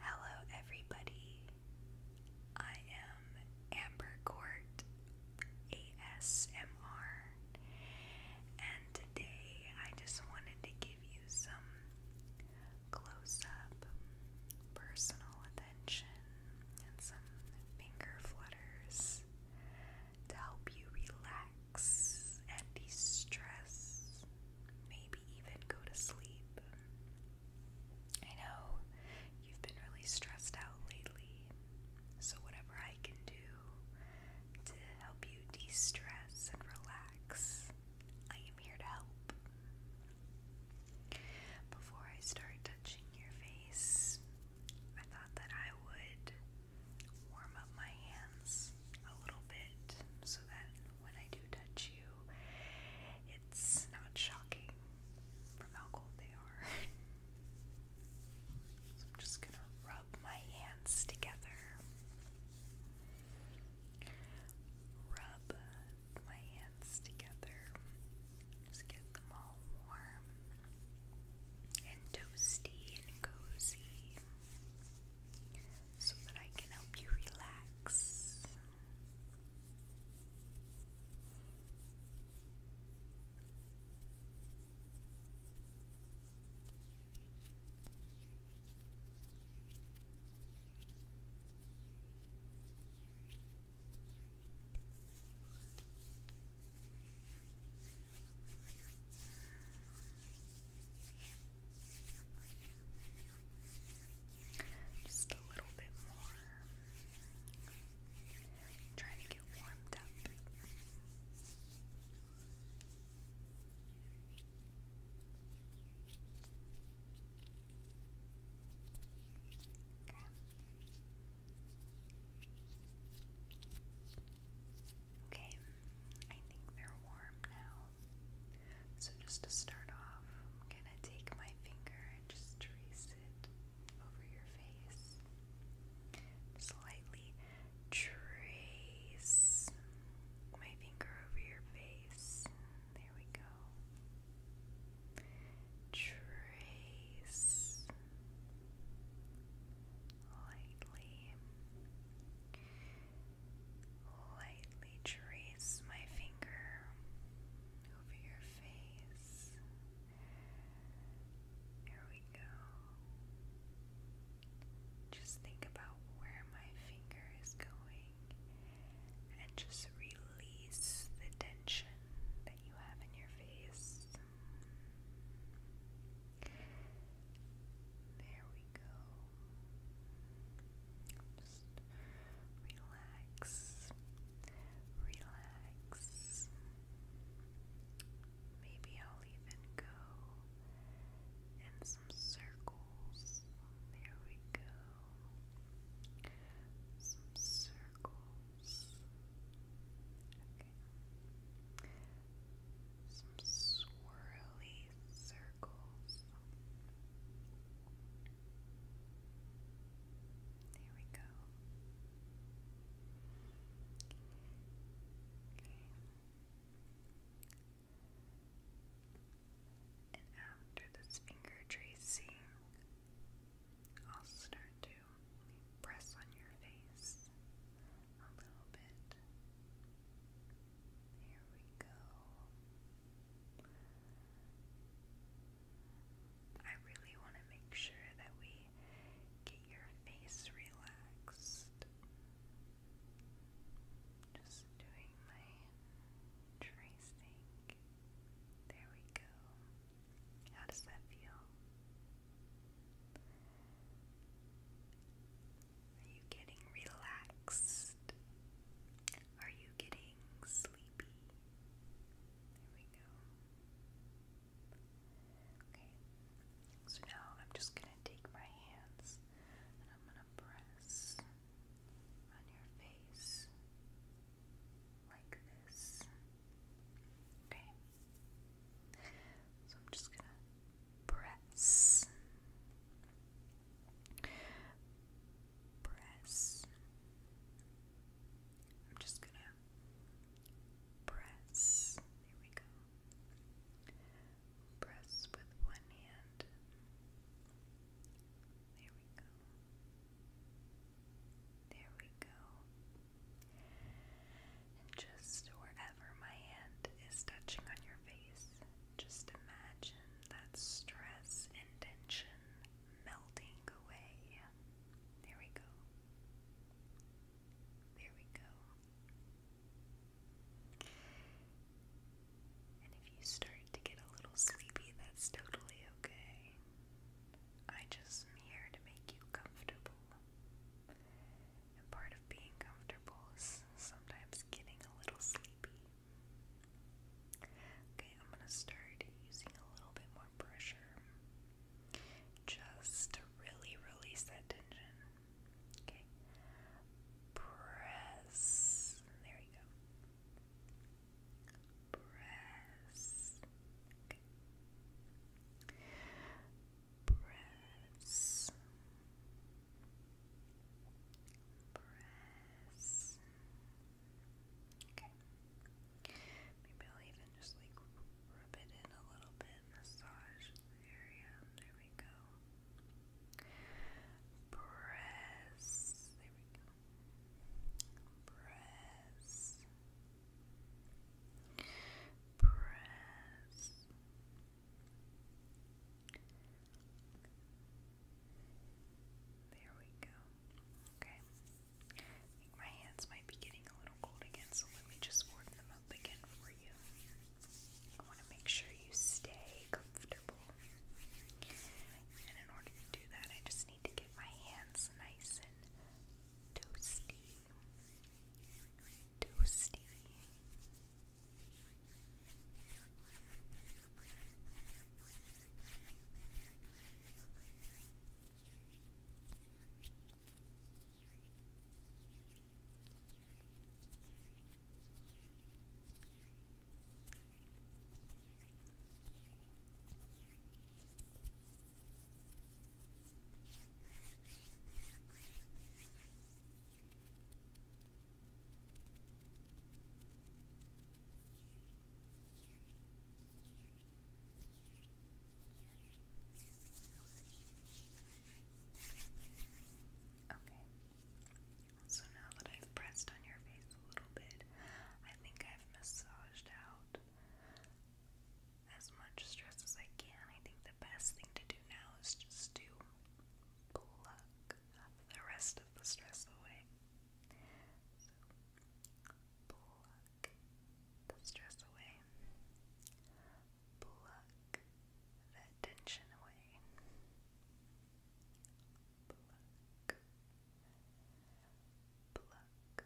Hello, everybody. I am Amber Court ASMR, and today I just wanted to give you some close up personal attention and some finger flutters to help you relax and de stress, maybe even go to sleep. I know you've been really stressed out lately, so whatever I can do to help you de stress and relax, I am here to help. Before I start touching your face, I thought that I would warm up my hands a little bit so that when I do touch you, it's not shocking from how cold they are. so I'm just gonna rub my hands together. Rub my hands together. Just get them all warm and toasty and cozy so that I can help you relax. Just a little bit more. trying to get warmed up. Okay, I think they're warm now. So, just to start off, I'm gonna take my finger and just trace it over your face. Slightly trace my finger over your face. There we go. Trace, lightly, lightly trace my finger over your face. There we go. Just think about where my finger is going and just release the tension that you have in your face. There we go. Just relax. Relax. Maybe I'll even go in some circles. There we go. Some circles. Some swirly circles. There we go. Okay. And after this finger tracing, I'll start to press on your face a little bit. Here we go. I really want to make sure that we get your face relaxed. Just doing my tracing. There we go. How does that feel? Are you getting relaxed? Are you getting sleepy? There we go. Okay, so now I'm just going to take my hands and I'm going to press on your face like this. Okay. So I'm just going to press. Press. I'm just going to press. There we go. Press with one hand. There we go. There we go. And just wherever my hand is touching on your face, just imagine that stress and tension melting away. There we go. There we go. And if you start to get a little sleepy, that's totally okay. I just here to make you comfortable. And part of being comfortable is sometimes getting a little sleepy. Okay, I'm gonna start using a little bit more pressure just to really release that tension. Okay, press. There you go. Press. Press. Press. Okay. Maybe I'll even just like rub it in a little bit, massage the area. There we go. Press. There we go. Press press there we go okay my hands might be getting a little cold again so let me just warm them up again for you I want to make sure you stay comfortable and in order to do that I just need to get my hands nice and Toasty. Toasty. Okay. So now that I've pressed on your face a little bit, I think I've massaged out as much stress as I can. I think the best thing to do now is just to pluck the rest of the stress away. So, pluck the stress away. Pluck that tension away pluck, pluck.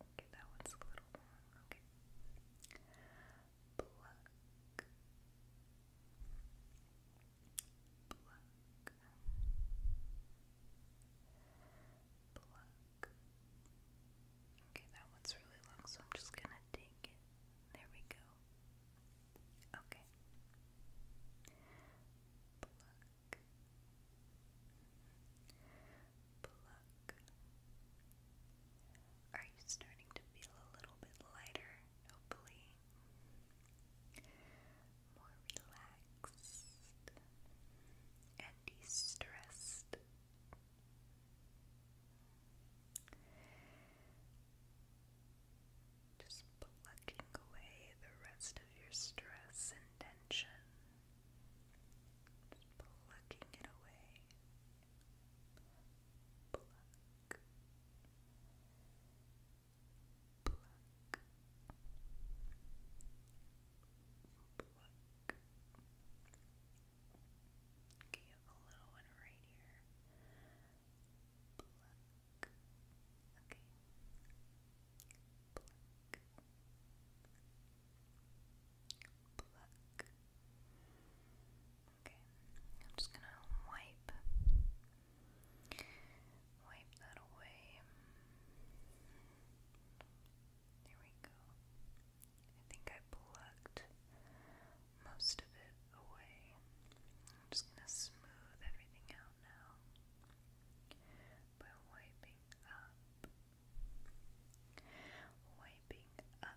Okay, that one's a little long. Okay, that one's really long, so I'm just gonna take it. There we go. Okay. Are you starting to feel a little bit lighter? Hopefully. More relaxed and de-stressed. Just plucking away the rest of your stress and tension. Just plucking it away. Pluck. Pluck. Pluck. Okay, a little one right here. Okay. Pluck. I'm just gonna wipe. Wipe that away. There we go. I think I plucked most of it away. I'm just going to smooth everything out now by wiping up, wiping up, wiping up, up,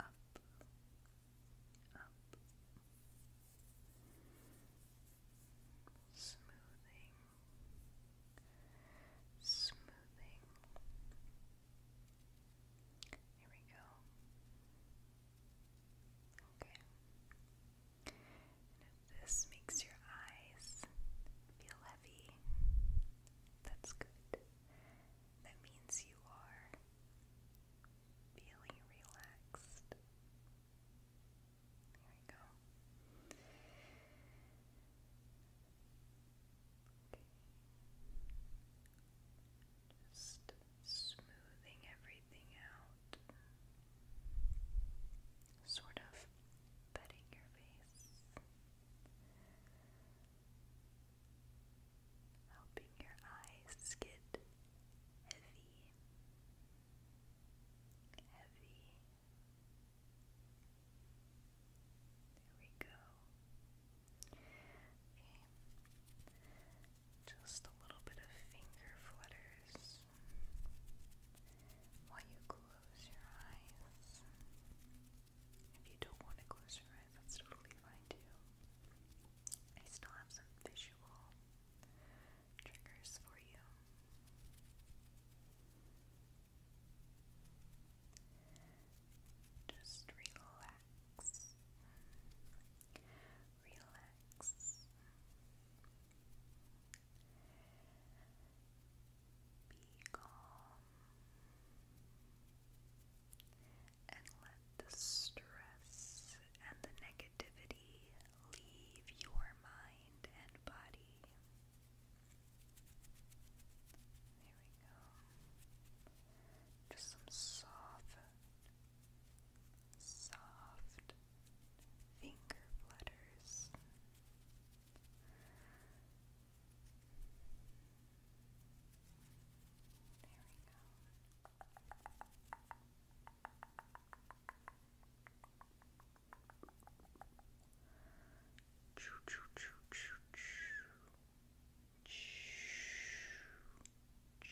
up. Smoothing smoothing. Here we go. Okay. if this makes your eyes feel heavy, that's good. That means you are feeling relaxed. There we go. Okay. Just smoothing everything out. Sort of petting your face. Helping your eyes get heavy, heavy, there we go. Just a little bit of finger flutters while you close your eyes. If you don't want to close your eyes, that's totally fine too. I still have some visual triggers for you. Just relax. Relax. Be calm and let the stress and the negativity leave your mind and body. There we go. Just some soft, soft finger flutters. There we go. Choo choo choo choo choo. Choo choo.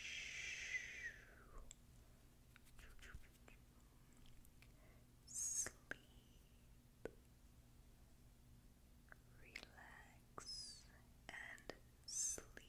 Sleep, relax, and sleep.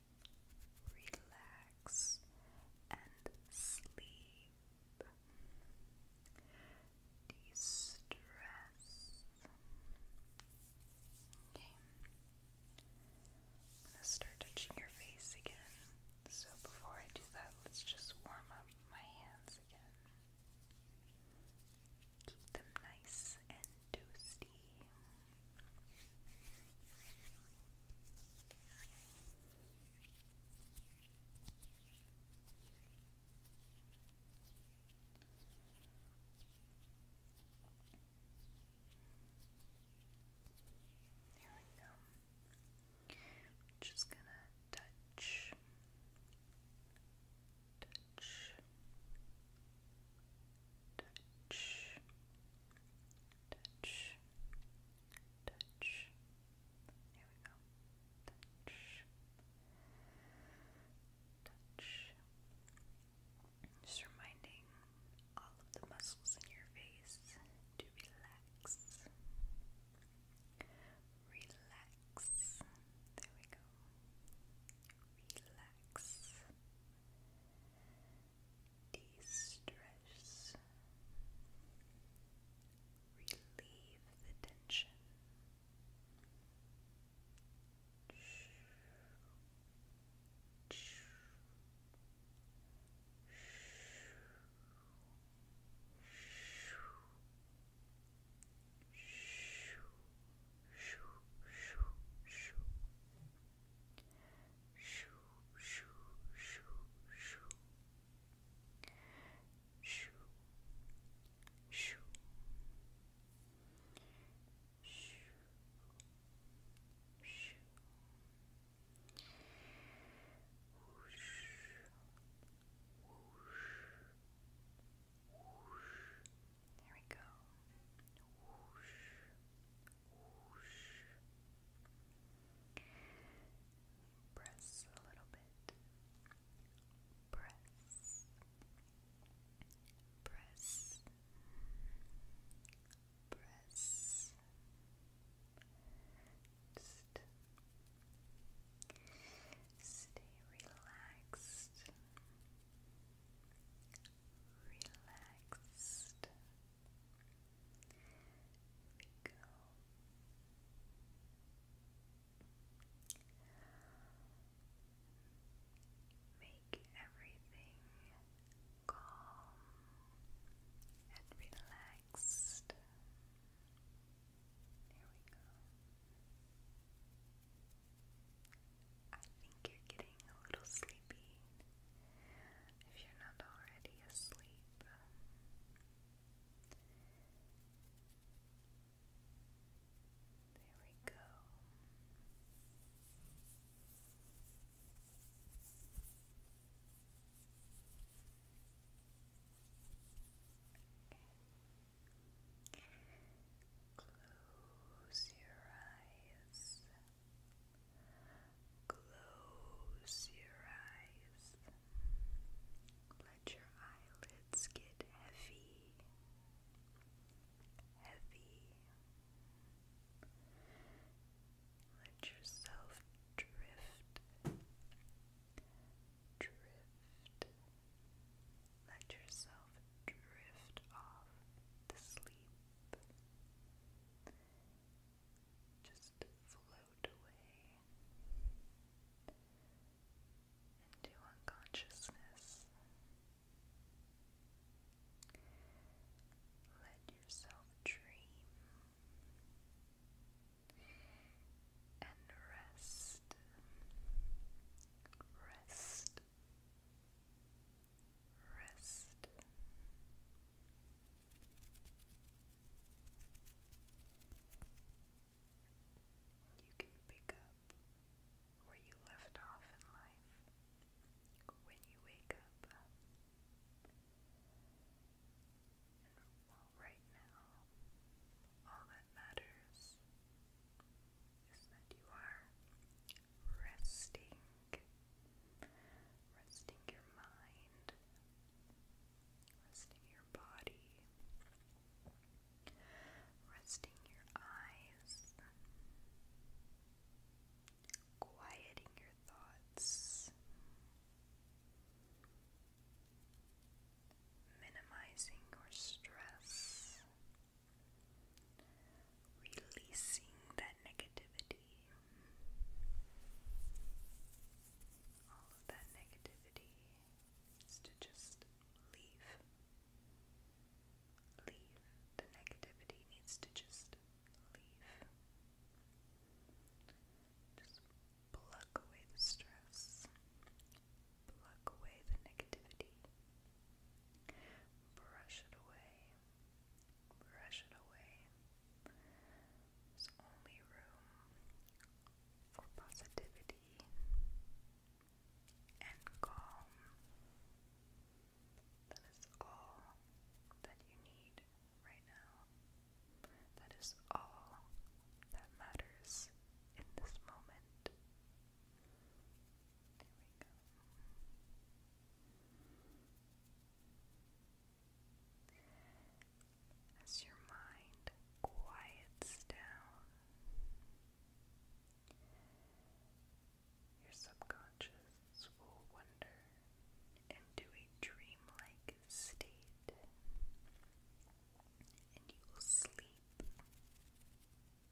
relax, and sleep. De-stress. Okay. I'm gonna start touching your face again. So before I do that, let's just warm up my hands again. Keep them nice and toasty. There we go. I'm just gonna touch, touch, touch, touch, touch, touch. Here we go. Touch, touch. Just reminding all of the muscles in your face to relax. Relax. There we go. Relax de-stress, relieve the tension shoo shoo shoo shoo shoo shoo shoo shoo whoosh whoosh whoosh there we go whoosh Press a little bit. Press. Press. Press. stay Relaxed. Relaxed we Make everything calm and relaxed. There we go. I think you're getting a little sleepy if you're not already asleep. There we go. Close your eyes. Close your eyes. Let your eyelids get heavy, heavy. Let yourself drift, drift. Let yourself drift off to sleep. Just float away into unconsciousness. Let yourself dream and rest. Rest wrist. You can pick up where you left off in life when you wake up. And right now, all that matters is that you are resting, resting your mind, resting your body, resting your eyes, quieting your thoughts, minimizing your stress. Releasing that negativity. All that negativity is to just leave. Leave. The negativity needs to just leave. Just pluck away the stress. Pluck away the negativity. Brush it away brush it away. There's only room for positivity and calm. That is all that you need right now. That is all that matters in this moment. There As your mind quiets down, your subconscious will wander into a dreamlike state, and you will sleep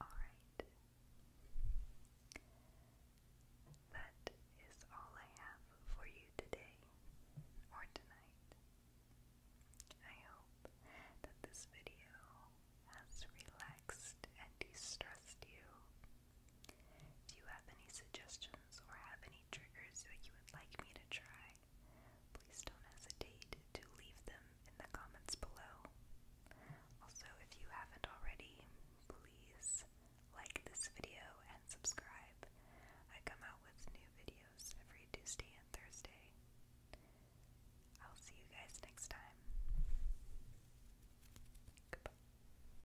All right. That is all I have for you today or tonight. I hope that this video has relaxed and de-stressed you do you have any suggestions or have any triggers that you would like me to try? Please don't hesitate to leave them in the comments below. Also, if you haven't already, please like this video and subscribe. I come out with new videos every Tuesday and Thursday. I'll see you guys next time. Goodbye.